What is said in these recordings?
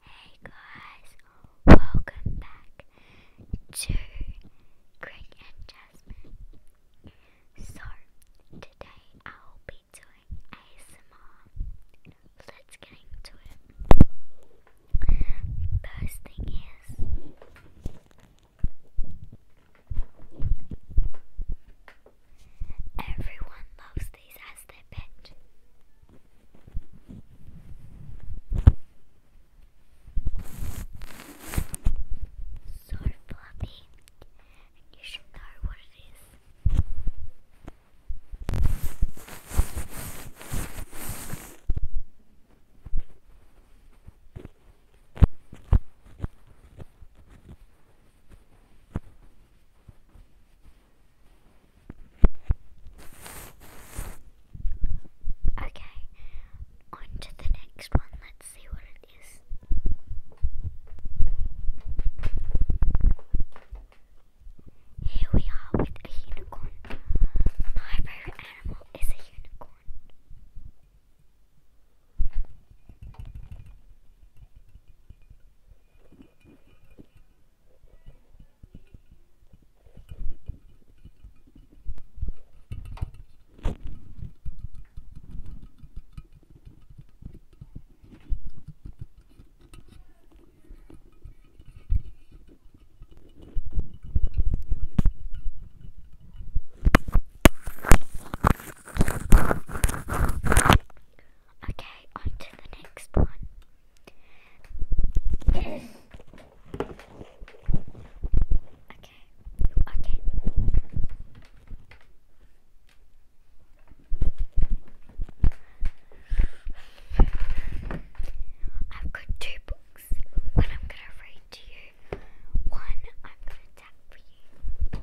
Hey guys, welcome back to Greg and Jasmine. So, today I'll be doing ASMR. Let's get into it. First thing is, Everyone loves use these as their pet. So fluffy, and you should know what it is. Now Okay, on to the next one. Let's see what it is. Here we are with a unicorn. My favorite animal is a unicorn. Okay, on to the next one okay. Okay. I've got two books. One I'm gonna read to you. One I'm gonna tap for you.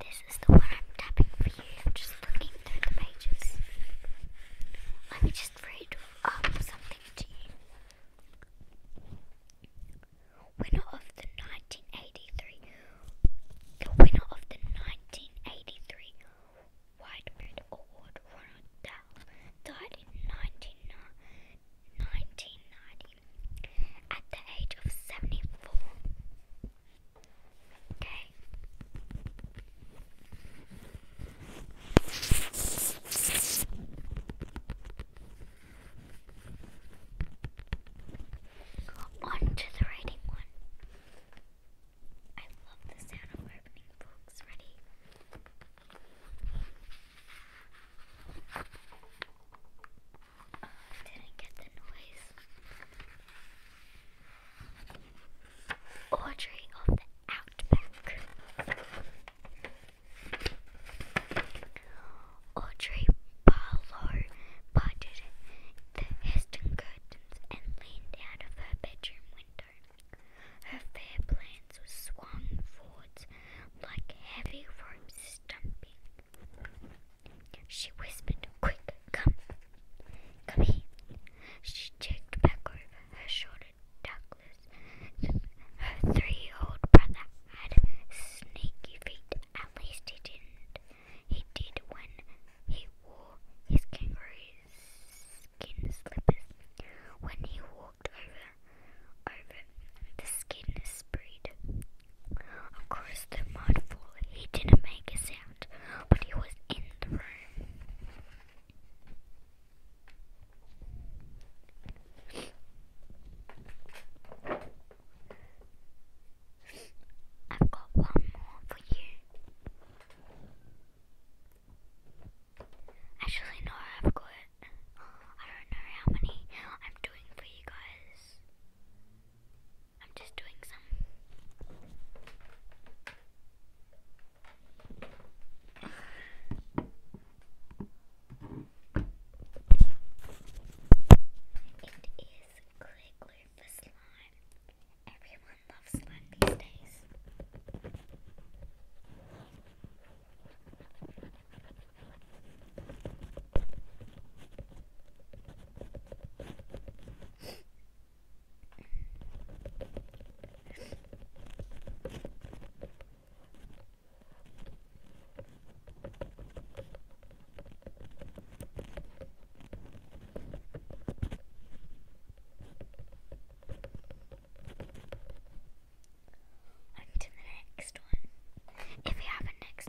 This is the one I'm tapping for you. I'm just looking through the pages. Let me just read up um, some Winner of the 1983. The winner of the 1983 White Bread Award, Ronald Dowell, died in 19, 1990 at the age of 74. On to the writing one. I love the sound of opening books. Ready? Oh, I didn't get the noise. Audrey of the Outback. Audrey Barlow parted the Heston curtains and leaned out of her bedroom window. Her fair plans were swung forwards like heavy ropes stumping. She whispered, Quick, come, come here. She jerked back over her shoulder reported Douglas. Her three-year-old brother had sneaky feet. At least he didn't. He did when he wore his kangaroo skin slippers. When he walked over, over the skin sprayed across the mud floor. He didn't make a sound, but he was in the room. I've got one more for you. Actually, no, I've got. I don't know how many I'm doing for you guys. I'm just doing some. It is clay glue for slime. Everyone loves slime these days. On to the next one. If we have a next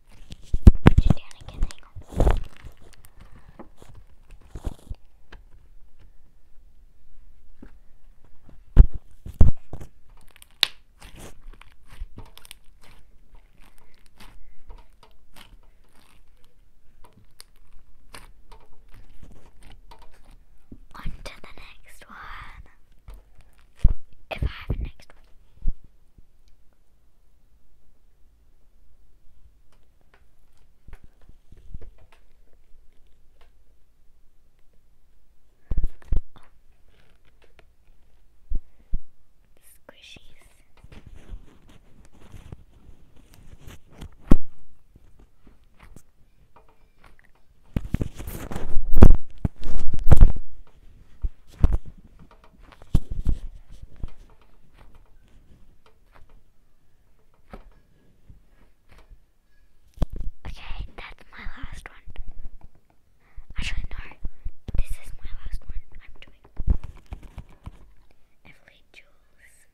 Just down On to the next one. If I have a next one. Squishies. Okay, that's my last one. Actually, no, this is my last one. I'm doing Everly Jules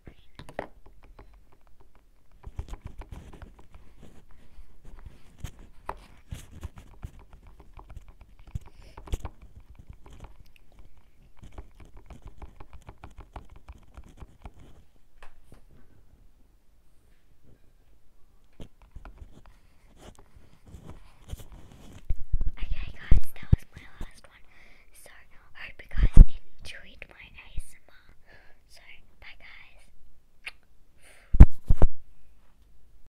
Okay, guys, that was my last one. So, hope you guys enjoyed my ASMR. So, bye, guys.